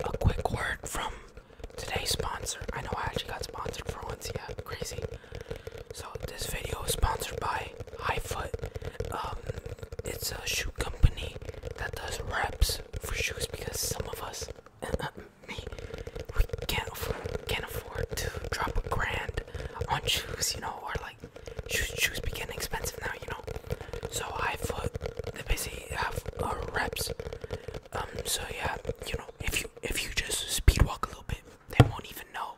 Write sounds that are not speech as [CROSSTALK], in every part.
A quick word from today's sponsor. I know I actually got sponsored for once, yeah, crazy. So this video is sponsored by Highfoot. Um, it's a shoe company that does reps for shoes because some of us, [LAUGHS] me, we can't afford, to drop a grand on shoes, you know, or like shoes, shoes be getting expensive now, you know. So I thought they basically have uh, reps. Um, so yeah, you know, if you if you just speed walk a little bit, they won't even know,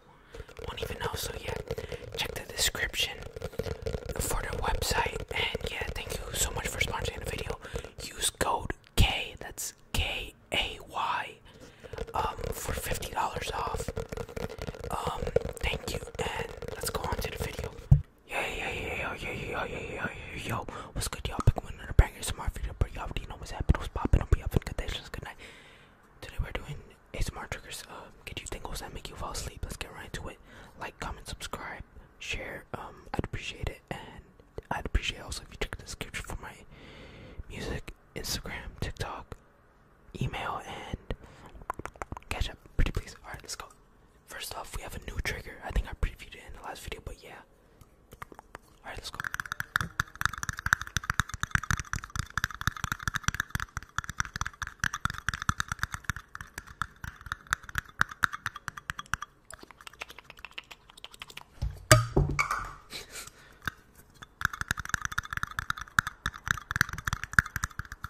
won't even know. So yeah, check the description for the website. And yeah, thank you so much for sponsoring the video. Use code K. That's K A Y. Um, for fifty dollars off. Um, thank you, and let's go on to the video. Yeah, yeah, yeah, yeah, yeah, yeah, yeah, yeah, yo. What's good, y'all? Back with another banger. It's my video, but y'all already know what's happening. What's popping? I'll be up in conditions. Good night. Today we're doing ASMR triggers. Uh, get you tingles that make you fall asleep. Let's get right into it. Like, comment, subscribe, share. Um, I'd appreciate it, and I'd appreciate also if you check the description for my music, Instagram, TikTok, email, and catch up. Pretty please. All right, let's go. First off, we have a new trigger. I think I previewed it in the last video, but yeah. Alright, let's go. [LAUGHS]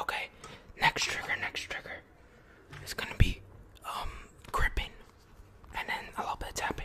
Okay, next trigger, next trigger is gonna be um gripping and then a little bit of tapping.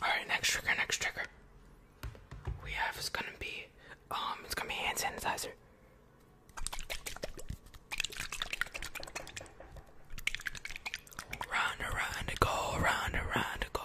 All right, next trigger, next trigger we have is gonna be um it's gonna be hand sanitizer. Round around the goal, round around the goal.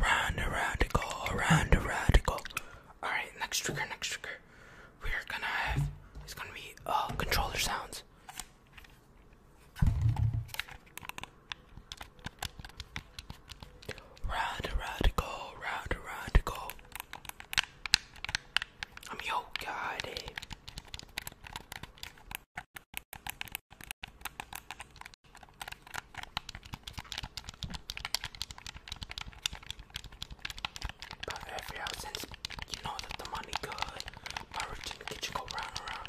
Round around the goal, round around the goal. Alright, next trigger, next trigger. We're gonna have it's gonna be uh controller sounds. Round, round, go, round, round, go. I'm your god. Eh? But every hour since you know that the money good, my routine kitchen go round around.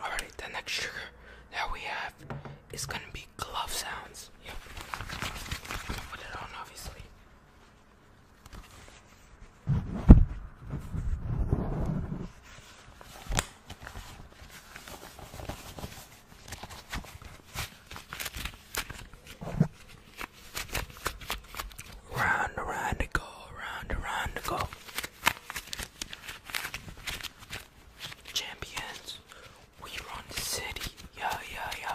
Alright, the next trigger that we have is gonna be glove sounds. Yep. Put it on obviously. Round around it go, round around it go. Champions, we run the city. Yeah, yeah, yeah.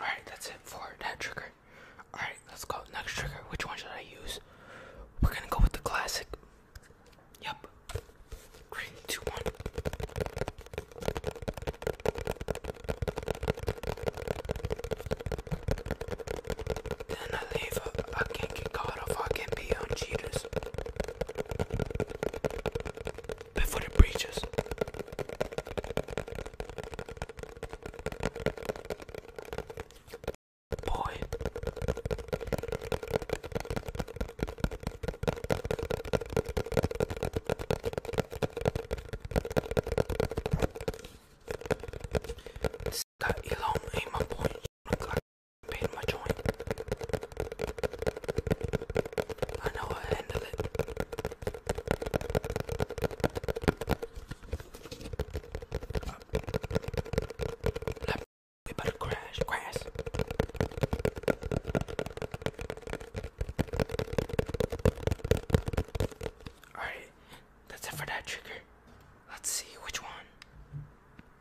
Alright, that's it for that trigger. Alright, let's go. Next trigger. Which one should I use? We're gonna go with the classic. Yep. Three, two, one. Then I leave I can't get caught if I can not be on cheaters. Before the breaches. Boy. Scott Elon ain't my boy. I'm I handle it. we better crash, crash. Alright, that's it for that trigger. Let's see which one.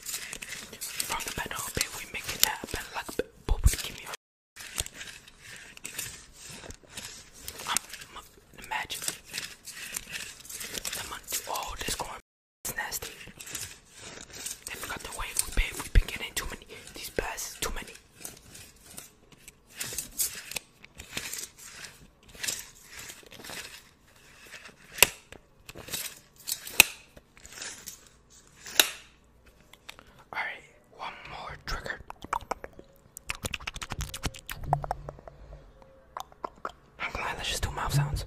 From the panel, babe, we make it happen like but we give me I'm the magic. The money. Oh, this going it's nasty. They forgot the wave we babe. we been getting too many. These passes, too many. All right, one more trigger. I'm glad let's just do mouth sounds.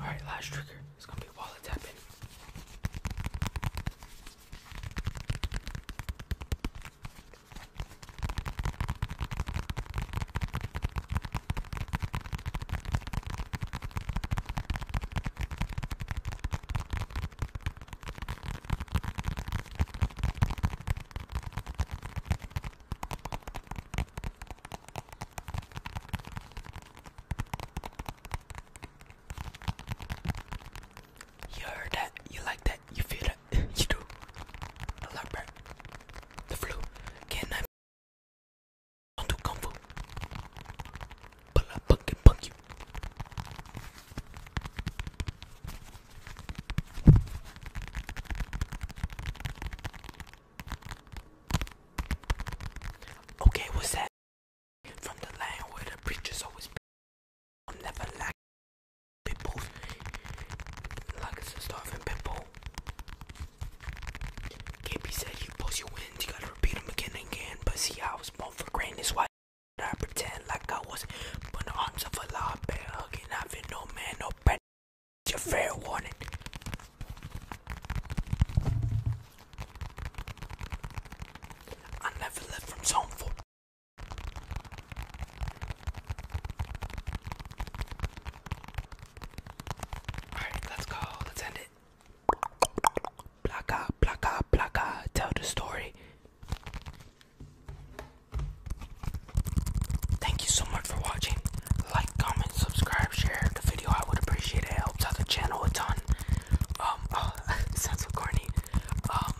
Alright, last trigger. It's gonna be wallet tapping. You heard that? You like that? You feel that? [LAUGHS] you do? The leopard, the flu, can I? Don't do kung fu. Pull up, punk and Okay, what's that? From the land where the preachers always be. I'm never like people. Like a starving people. KB said you post your wins, you gotta repeat them again and again. But see, I was born for greatness. Why I pretend like I was? But the arms of a lot better I've been no man, no better. It's your fair warning. I never left from zone four. Alright, let's go. Let's end it. Plaka, plaka, plaka. Tell the story. Thank you so much for watching like, comment, subscribe, share the video. I would appreciate it. helps out the channel a ton. Um, oh, [LAUGHS] it sounds Um,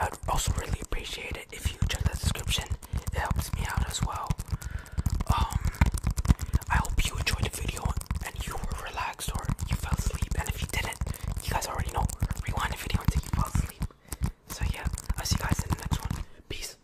I would also really appreciate it if you check the description. It helps me out as well. Um, I hope you enjoyed the video and you were relaxed or you fell asleep. And if you didn't, you guys already know. Rewind the video until you fall asleep. So yeah, I'll see you guys in the next one. Peace.